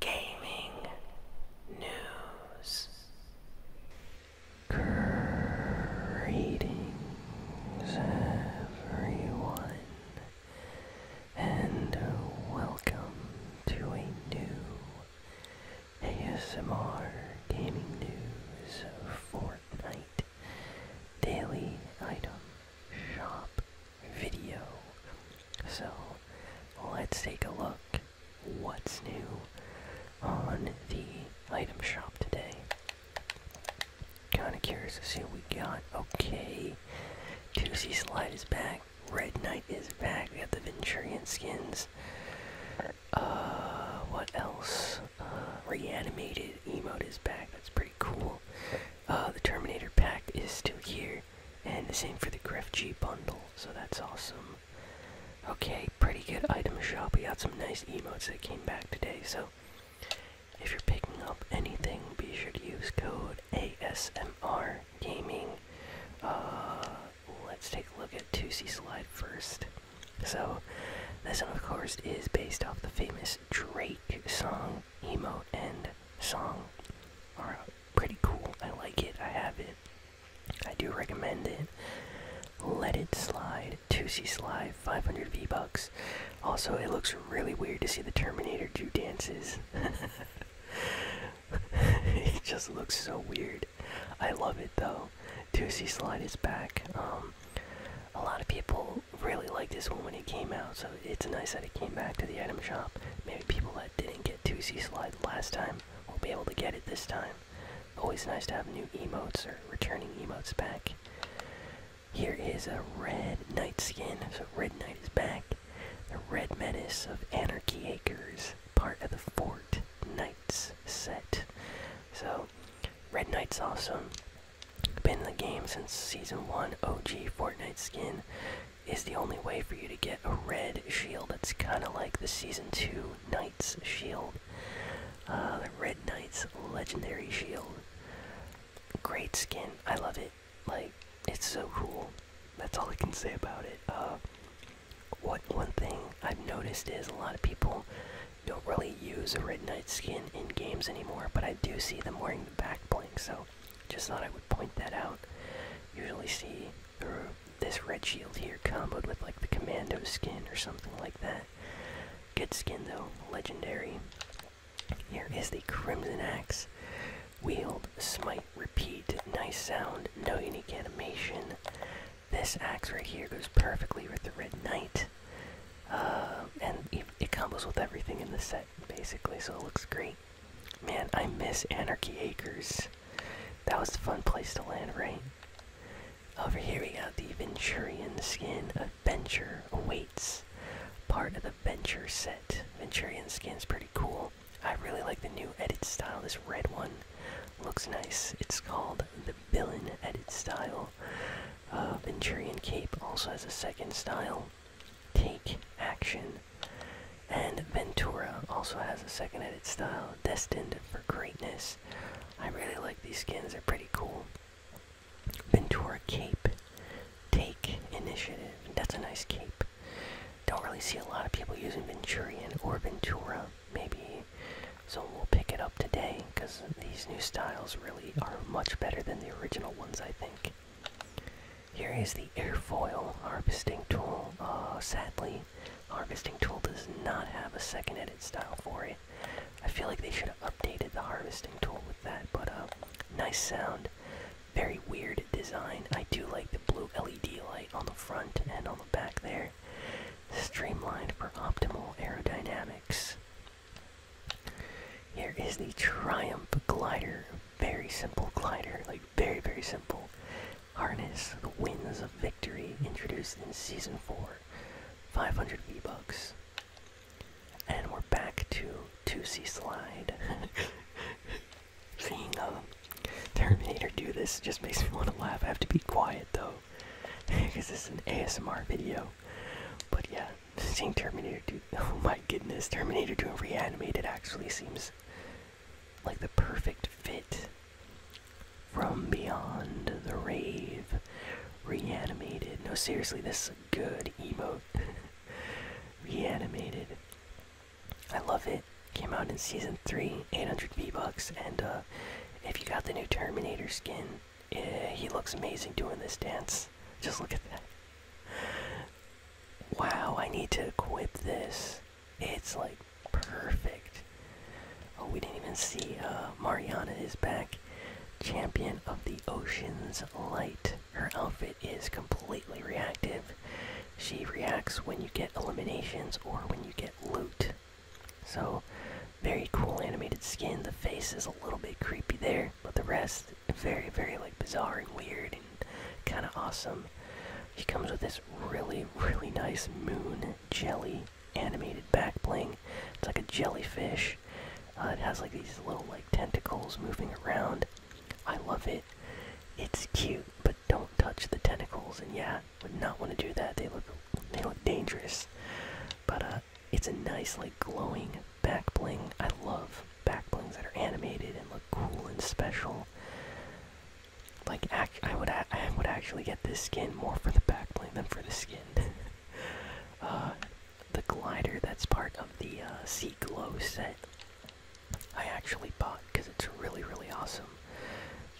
gaming news. Greetings, everyone, and welcome to a new ASMR Gaming News Fortnite Daily Item Shop video. So let's take a look what's new on the item shop today. Kinda curious to see what we got. Okay. Juicy Slide is back. Red Knight is back. We got the Venturian skins. Uh, what else? Uh, reanimated emote is back. That's pretty cool. Uh, the Terminator pack is still here and the same for the Griff G bundle, so that's awesome. Okay, pretty good item shop. We got some nice emotes that came back today, so if you're picking up anything, be sure to use code ASMR Gaming. Uh, let's take a look at 2C Slide first. So, this one, of course, is based off the famous Drake song, Emo and song. Or pretty cool. I like it. I have it. I do recommend it. Let It Slide, 2C Slide, 500 V-Bucks. Also, it looks really weird to see the Terminator do dances. it just looks so weird. I love it though. 2C Slide is back. Um, a lot of people really liked this one when it came out, so it's nice that it came back to the item shop people that didn't get 2C slide last time will be able to get it this time. Always nice to have new emotes or returning emotes back. Here is a red knight skin, so red knight is back. The red menace of Anarchy Acres, part of the Fort Knights set. So, red knight's awesome. Been in the game since season one. OG Fortnite skin is the only way for you to get a red shield. It's kind of like the Season 2 Knight's Shield, uh, the Red Knight's Legendary Shield. Great skin. I love it. Like, it's so cool. That's all I can say about it. Uh, what one thing I've noticed is a lot of people don't really use a Red Knight skin in games anymore, but I do see them wearing the back bling, so just thought I would point that out. Usually see this red shield here comboed with like the commando skin or something like that. Good skin though, legendary. Here is the Crimson Axe. Wield, smite, repeat. Nice sound, no unique animation. This axe right here goes perfectly with the Red Knight. Uh, and it, it combos with everything in the set, basically, so it looks great. Man, I miss Anarchy Acres. That was a fun place to land, right? Over here we got the Venturian skin. Adventure awaits. Part of the Venture set. Venturian skin's pretty cool. I really like the new edit style. This red one looks nice. It's called the Villain edit style. Uh, Venturian cape also has a second style. Take Action. And Ventura also has a second edit style, Destined for Greatness. I really like these skins, they're pretty cool. Ventura Cape. Take Initiative. That's a nice cape. Don't really see a lot of people using Venturian or Ventura. Maybe so we'll pick it up today because these new styles really are much better than the original ones, I think. Here is the airfoil harvesting tool. Uh, sadly, harvesting tool does not have a second edit style for it. I feel like they should have updated the harvesting tool with that, but uh, nice sound. Very weird design. I do like the blue LED light on the front and on the back there. Streamlined for optimal aerodynamics. Here is the Triumph Glider very simple glider, like very, very simple. Harness the winds of victory introduced in season 4. 500 v bugs, And we're back to 2C Slide. Seeing the uh, Terminator do this just makes me want to laugh. I have to be quiet though, because this is an ASMR video. But yeah, seeing Terminator 2. Oh my goodness, Terminator 2 reanimated actually seems like the perfect fit. From Beyond the Rave, reanimated. No, seriously, this is good emote. reanimated. I love it. Came out in season 3, 800 V-Bucks, and uh, if you got the new Terminator skin, eh, he looks amazing doing this dance. Just look at that. Wow, I need to equip this. It's like perfect. Oh, we didn't even see uh, Mariana is back. Champion of the Ocean's Light. Her outfit is completely reactive. She reacts when you get eliminations or when you get loot. So, very cool animated skin. The face is a little bit creepy there. But the rest, very, very like bizarre and weird and kind of awesome. He comes with this really, really nice moon jelly animated back bling. It's like a jellyfish. Uh, it has like these little like tentacles moving around. I love it. It's cute, but don't touch the tentacles. And yeah, would not want to do that. They look, they look dangerous. But uh, it's a nice like glowing back bling. I love back blings that are animated and look cool and special. Like I would I would actually get this skin more for the back bling than for the skin. Uh, the glider that's part of the uh, Sea Glow set, I actually bought because it's really really awesome.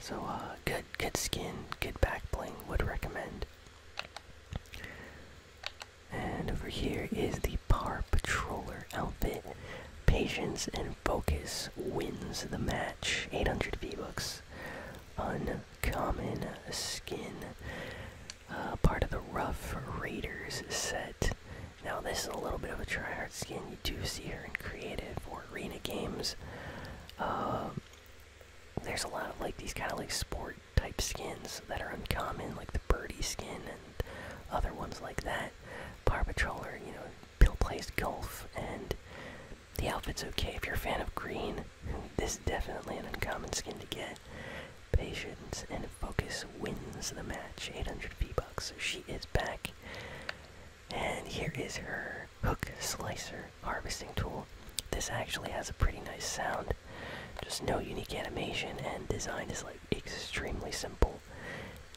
So uh, good good skin, good back bling. Would recommend. And over here is the Power Patroller outfit. Patience and focus wins the match. 800 V-Bucks. Uncommon skin. Uh, part of the Rough Raiders set. Now this is a little bit of a tryhard skin. You do see her in creative for arena games. Uh, there's a lot of like these kind of like sport type skins that are uncommon, like the birdie skin and other ones like that. Power Patroller, you know, Bill plays golf, and the outfit's okay. If you're a fan of green, this is definitely an uncommon skin to get. Patience and Focus wins the match, 800 V-Bucks, she is back. And here is her hook slicer harvesting tool. This actually has a pretty nice sound. Just no unique animation, and design is like extremely simple.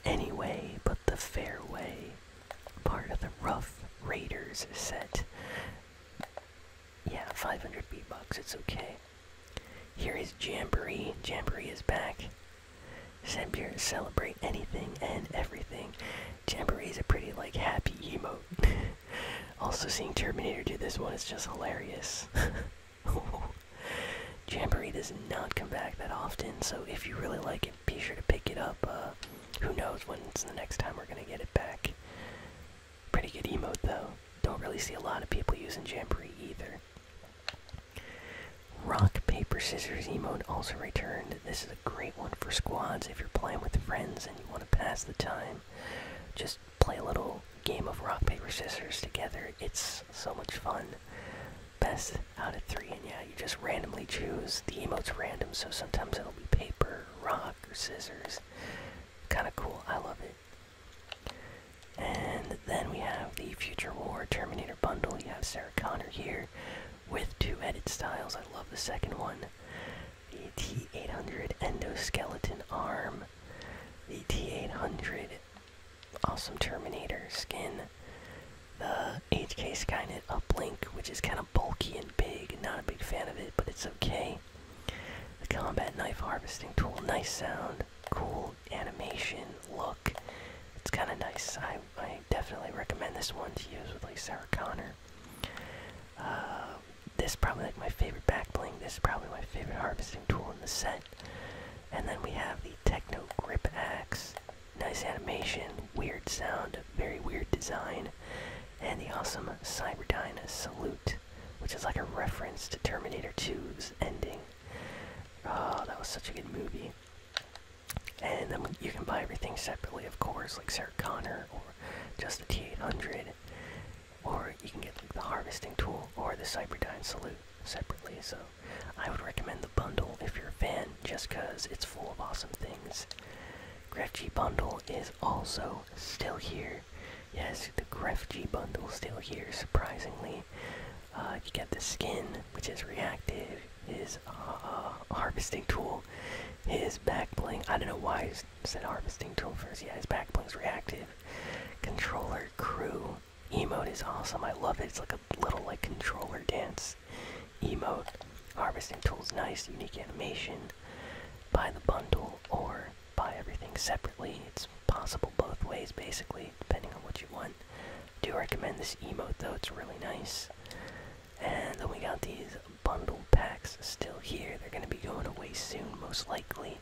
Anyway, but the fairway part of the Rough Raiders set. Yeah, 500 B-Bucks, it's okay. Here is Jamboree. Jamboree is back. Sampier celebrate anything and everything. Jamboree is a pretty, like, happy emote. also, seeing Terminator do this one is just hilarious. Jamboree does not come back that often, so if you really like it, be sure to pick it up. Uh, who knows when it's the next time we're gonna get it back. Pretty good emote though. Don't really see a lot of people using Jamboree either. Rock, paper, scissors emote also returned. This is a great one for squads if you're playing with friends and you want to pass the time. Just play a little game of rock, paper, scissors together. It's so much fun. Best out of three, and yeah, you just randomly choose. The emote's random, so sometimes it'll be paper, rock, or scissors. Kind of cool. I love it. And then we have the Future War Terminator bundle. You have Sarah Connor here with two edit styles. I love the second one the T800 Endoskeleton Arm, the T800 Awesome Terminator skin, the HK Skynet Uplink, which is kind of bulky and big, not a big fan of it, but it's okay. The Combat Knife Harvesting Tool, nice sound, cool animation, look. It's kind of nice. I, I definitely recommend this one to use with like Sarah Connor. Uh, this is probably like my favorite backbling. This is probably my favorite harvesting tool in the set. And then we have the Techno Grip Axe. Nice animation, weird sound, very weird design, and the awesome Cyberdina Salute, which is like a reference to Terminator 2's ending. Oh, that was such a good movie. And then you can buy everything separately, of course, like Sarah Connor or just the T800. Or you can get the harvesting tool or the cyberdine salute separately. So I would recommend the bundle if you're a fan, just because it's full of awesome things. Grefg bundle is also still here. Yes, the Grefg bundle still here. Surprisingly, uh, you get the skin, which is reactive. His uh, harvesting tool, his back I don't know why Harvest said harvesting tool first. Yeah, his back bling's reactive. Controller crew emote is awesome. I love it. It's like a little like controller dance emote. Harvesting tool's nice, unique animation. Buy the bundle or buy everything separately. It's possible both ways basically, depending on what you want. I do recommend this emote though, it's really nice. And then we got these bundle packs still here. They're going to be going away soon, most likely.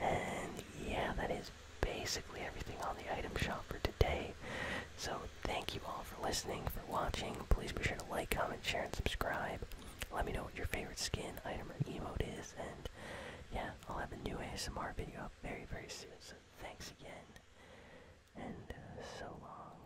And yeah, that is basically everything on the item shop for today. So thank you all for listening, for watching. Please be sure to like, comment, share, and subscribe. Let me know what your favorite skin, item, or emote is. And yeah, I'll have a new ASMR video up very, very soon. So thanks again. And uh, so long.